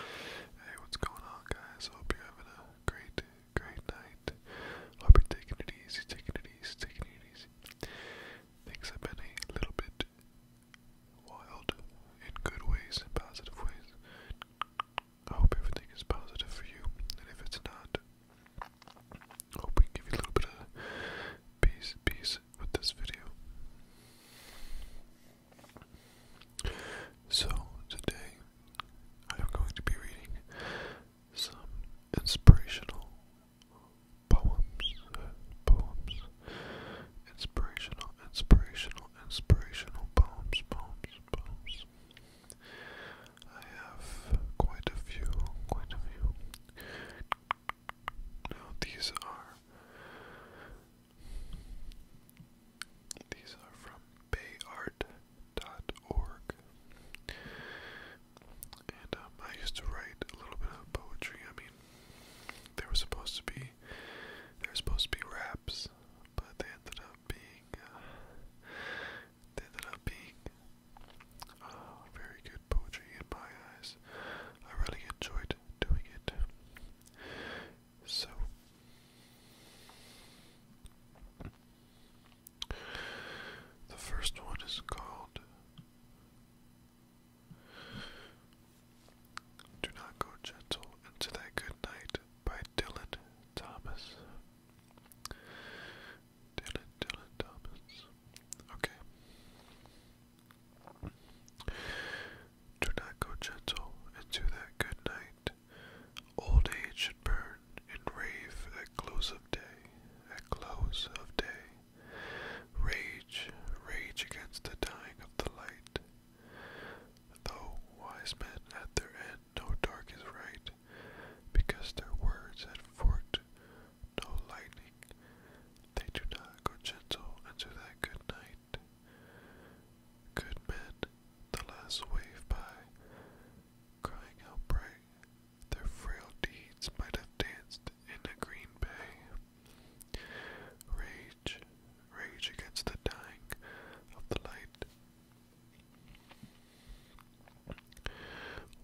Hey, what's going on, guys? Hope you're having a great, great night. Hope you're taking it easy, taking it easy, taking it easy. Things have been a little bit wild in good ways and positive ways. I hope everything is positive for you, and if it's not, hope we give you a little bit of peace, peace with this video. So, today I am going to be reading some inspirational poems. Poems. Inspirational, inspirational, inspirational poems, poems, poems. I have quite a few, quite a few. Now, these are these are from bayart.org. And um, I used to write a little bit of poetry. I mean, they were supposed to be, they were supposed to be raps, but they ended up being, uh, they ended up being uh, very good poetry in my eyes. I really enjoyed doing it. So, the first one is called Do Not Go Gentle Into That Good Night by Dylan Thomas. Dylan, Dylan Thomas. Okay. Do not go gentle into that good night. Old age should burn and rave at close of day, at close of day. Rage, rage against the dying of the light. Though wise men at their end know dark is right, because their words had forked no lightning, they do not go gentle into that good night. Good men, the last wave by, crying out bright, their frail deeds might have danced in a green bay. Rage, rage against the dying of the light.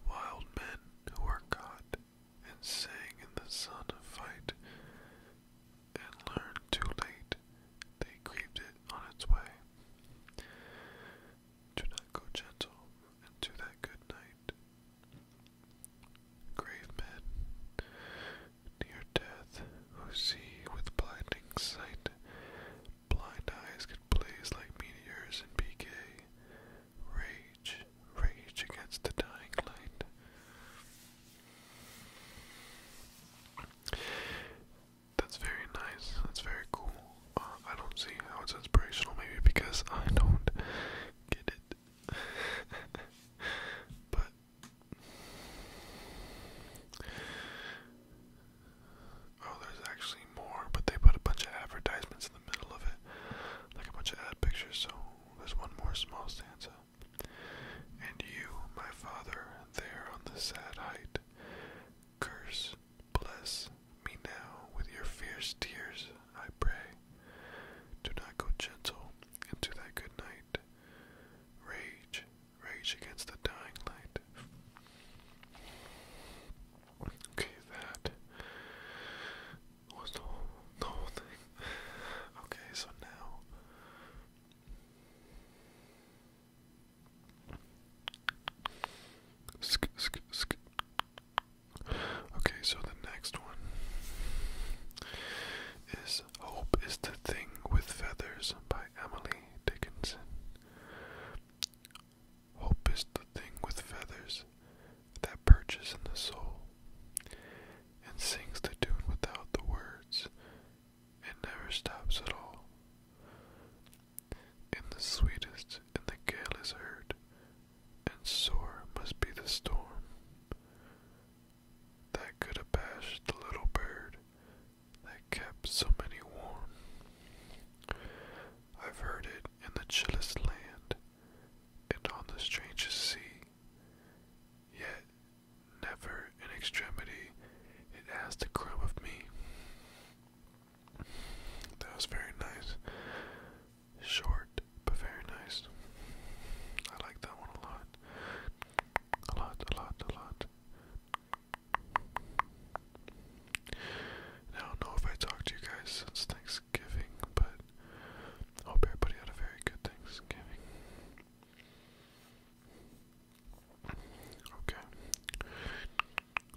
Wild men who are caught and sang in the sun of fight, and learned too late they grieved it on its way. Do not go gentle into that good night. Grave men near death who see with blinding sight, blind eyes could blaze like meteors and be gay. Rage, rage against the dying light. That's very nice. That's very cool. Uh, I don't see how it's inspirational, maybe because I don't get it. but oh, there's actually more, but they put a bunch of advertisements in the middle of it, like a bunch of ad pictures. So there's one more small stanza. And you, my Father, there on the sad height, curse, bless me now with your fierce tears, I pray. Do not go gentle into that good night. Rage, rage against the dying light. Okay, that was the whole, the whole thing. Okay, so now Okay, so the next one is Hope is the Thing with Feathers by Emily Dickinson. Hope is the thing with feathers that perches in the soul and sings the tune without the words it never stops at all. In the sweetest, and the gale is heard, and sore must be the storm that could abash the little bird that kept so many warm. I've heard it in the chillest land, and on the strangest sea, Yet, never in extremity, it asked a crumb of me. That was very nice. Short, but very nice. I like that one a lot. A lot, a lot, a lot. I don't know if I talked to you guys since Thanksgiving, but hope everybody had a very good Thanksgiving. Okay.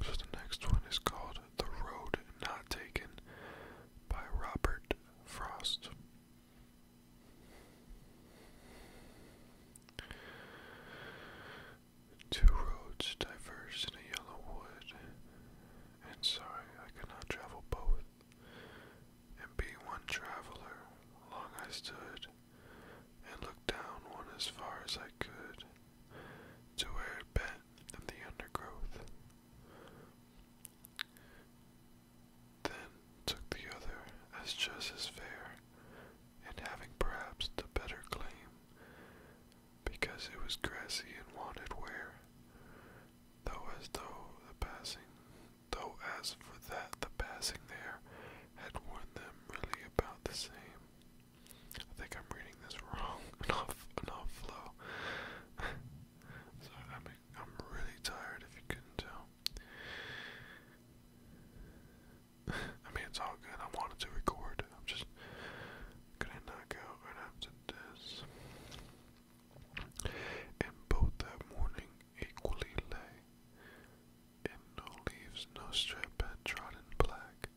So the next one is called The Road Not Taken by Robert Frost. Two roads diverged in a yellow wood, and sorry I cannot travel both and be one traveler. Long I stood and looked down one as far as I could to where it bent in the undergrowth. Then took the other as just as fair, and having perhaps the better claim, because it was grassy and wanted wear, though as though the passing though as for that the passing there had worn them really about the same. I think I'm reading this wrong. Enough, enough flow. so I mean, I'm really tired. If you couldn't tell, I mean it's all good. I wanted to record. I'm just gonna knock out right after this. And both that morning equally lay. In no leaves, no strip had trodden black.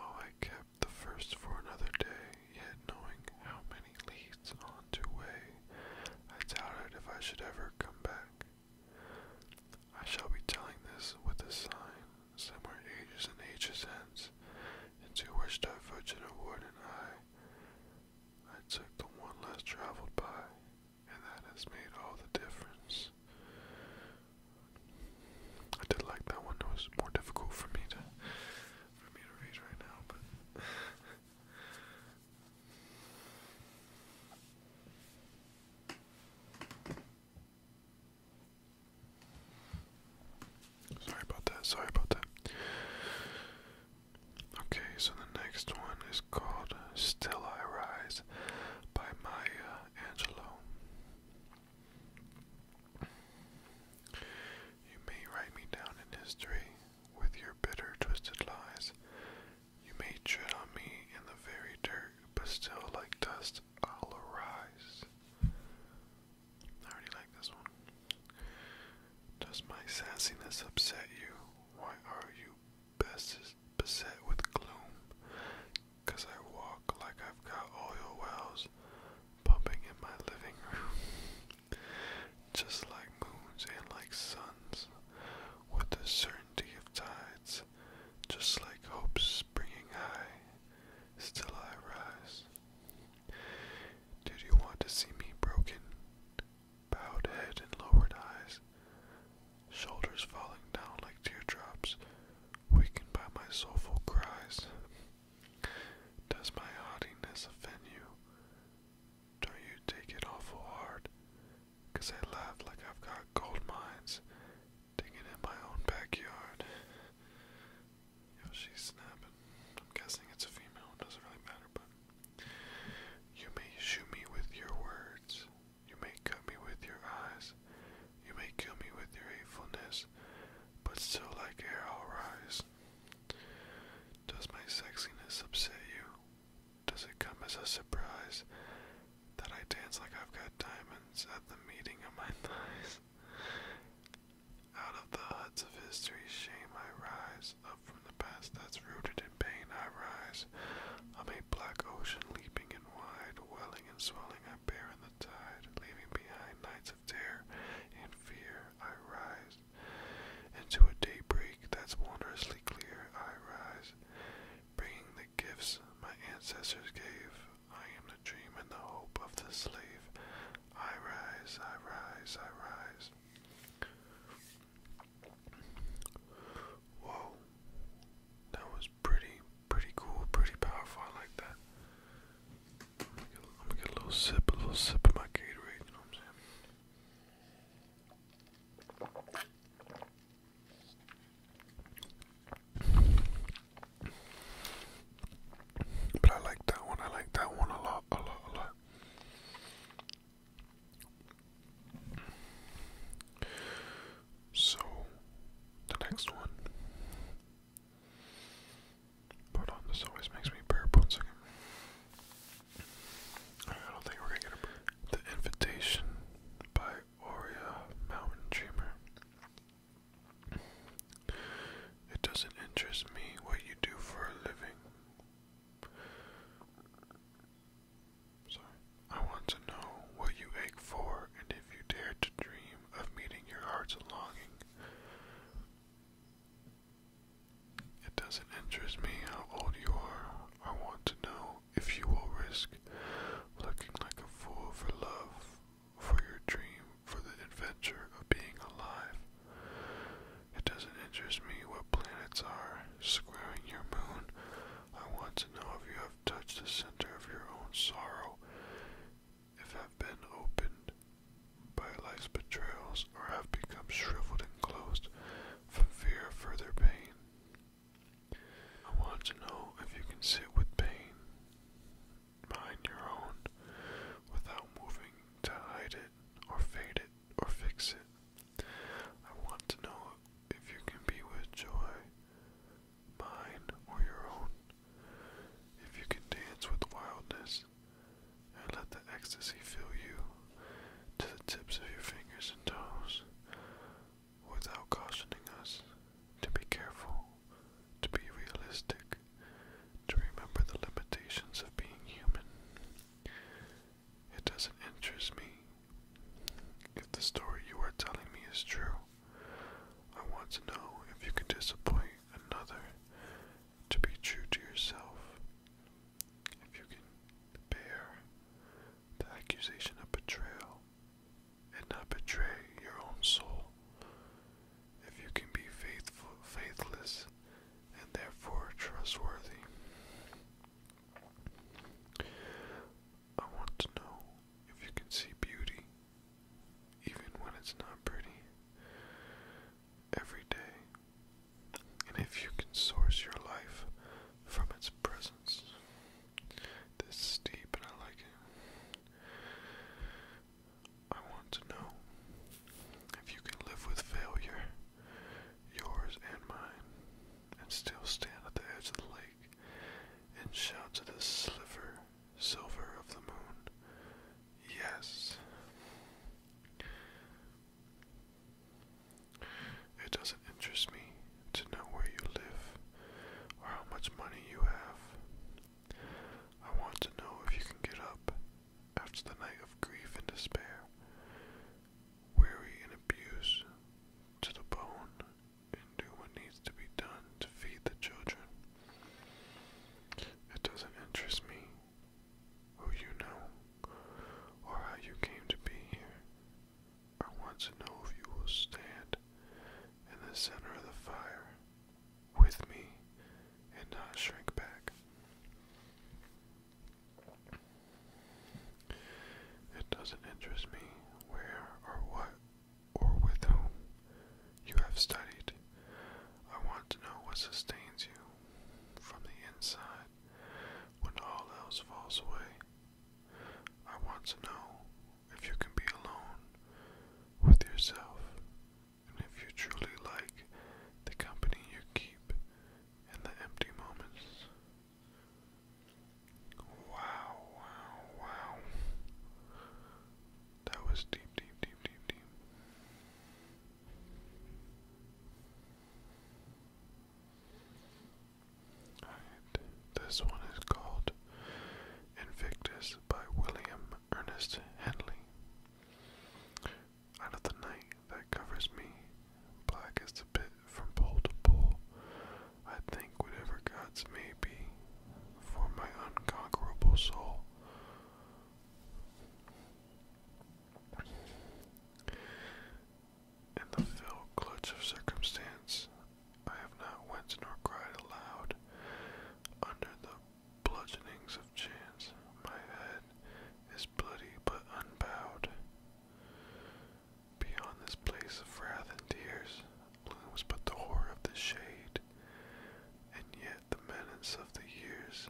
Oh, I kept the first for another day, yet knowing how many leads on to way, I doubted if I should ever come back. I shall be telling this with a sign, somewhere ages and ages hence, into which divergent a wood and I, I took the one less traveled by, and that has made all the difference. I did like that one. It was more difficult for me to for me to read right now, but. Sorry about that, sorry about that. Okay, so the next one is called Still I Rise by Maya Angelou. You may write me down in history with your bitter, twisted lies. You may tread on me in the very dirt, but still, like dust, I'll arise. I already like this one. Does my sassiness upset you? Why are you beset with gloom? I walk like I've got oil wells pumping in my living room. Just like moons and like suns, with the certainty of tides, just like hopes springing high, still I rise. Did you want to see me broken? bowed head and lowered eyes, shoulders falling down like teardrops, weakened by my soulful cries. Does my haughtiness offend you? Don't you take it awful hard? Cause I laugh like I've got gold mines digging in my own backyard. Yo, she's snapping. I'm guessing it's a female, it doesn't really matter, but you may shoot me with your words. You may cut me with your eyes. You may kill me with your hatefulness. But still, like air, I'll rise. Does my sexiness upset you? Does it come as a surprise that I dance like I've got diamonds at the meeting of my thighs? Out of the huts of history, shame I rise up from the past that's rooted in pain. I rise. I'm a black ocean leaping and wide, welling and swelling. I bear in the tide, leaving behind nights of terror and fear. I rise into a daybreak that's wondrously clear. I rise, bringing the gifts my ancestors gave. I am the dream and the hope of the slave. I rise, I rise, I rise. Whoa. That was pretty, pretty cool, pretty powerful. I like that. I'm get a little sip, a little sip of my Gatorade, you know what I'm saying? But I like that one, I like that one a lot, a lot, a lot. So, the next one. Put on this always makes me burp one second. I don't think we're gonna get a The Invitation by Aurea Mountain Dreamer. It doesn't interest me what you do for a living, Sorry. I want to know what you ache for and if you dare to dream of meeting your heart's longing. It doesn't interest me how old you are. I want to know if you will risk looking like a fool for love, for your dream, for the adventure of being alive. It doesn't interest me what planets are squaring your moon. I want to know if you have touched the center of your own sorrow, if have been opened by life's betrayals, or have become shriveled and closed from fear of further pain. I want to know if you can sit with pain, mind your own, without moving to hide it, or fade it, or fix it. I want to know if you can be with joy, mine or your own. If you can dance with wildness and let the ecstasy fill you to the tips of your fingers and toes without cautioning us to be careful, to be realistic, to remember the limitations of being human. It doesn't interest me. If the story you are telling me is true, I want to know if you can disappoint another to be true to yourself. If you can bear the accusation of betrayal and not betray your own soul. If you can be faithful, faithless and therefore trustworthy. I want to know if you can see beauty, even when it's not pretty, every day, and if you can source your life from its presence. This is deep, and I like it. I want to know if you can live with failure yours and mine, and still stand at the edge of the lake and shout to the sliver, silver of the moon, Yes! It doesn't interest me to know where you live or how much money you have. I want to know if you can get up after the night of grief and despair, weary and abused to the bone, and do what needs to be done to feed the children. It doesn't interest me who you know or how you came to be here. I want to know if you will stand in the center of the fire with me and not shrink back. It doesn't interest me where or what or with whom you have studied. I want to know what sustains you from the inside when all else falls away. I want to know if you can be alone with yourself and if you truly like the company you keep and the empty moments. Wow, wow, wow. That was deep, deep, deep, deep, deep. Alright, this one is called Invictus by William Ernest Henley. Out of the night that covers me, black as the pit from pole to pole, I think whatever gods may be, for my unconquerable soul. In the fell clutch of circumstance, I have not winced nor cried aloud. Under the bludgeonings of chance, my head is was bloody but unbowed. Beyond this place of wrath and tears looms but the horror of the shade, and yet the menace of the years.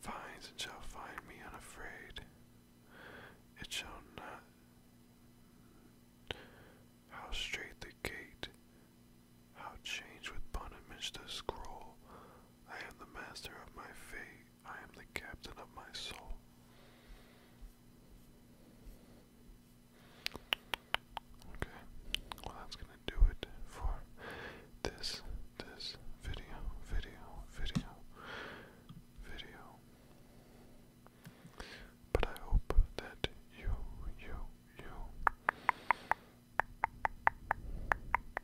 Finds and shall find me unafraid. It shall not how straight the gate, how change with punishment the scroll. I am the master of my fate, I am the captain of my soul. Okay, well that's gonna do it for this, this video, video, video, video. But I hope that you, you, you.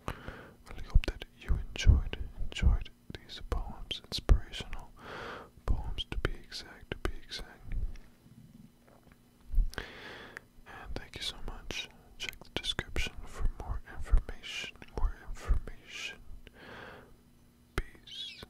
I hope that you enjoyed, enjoyed these poems, inspirational poems to be exact, to be exact. And thank you so much. Check the description for more information, more information. Peace.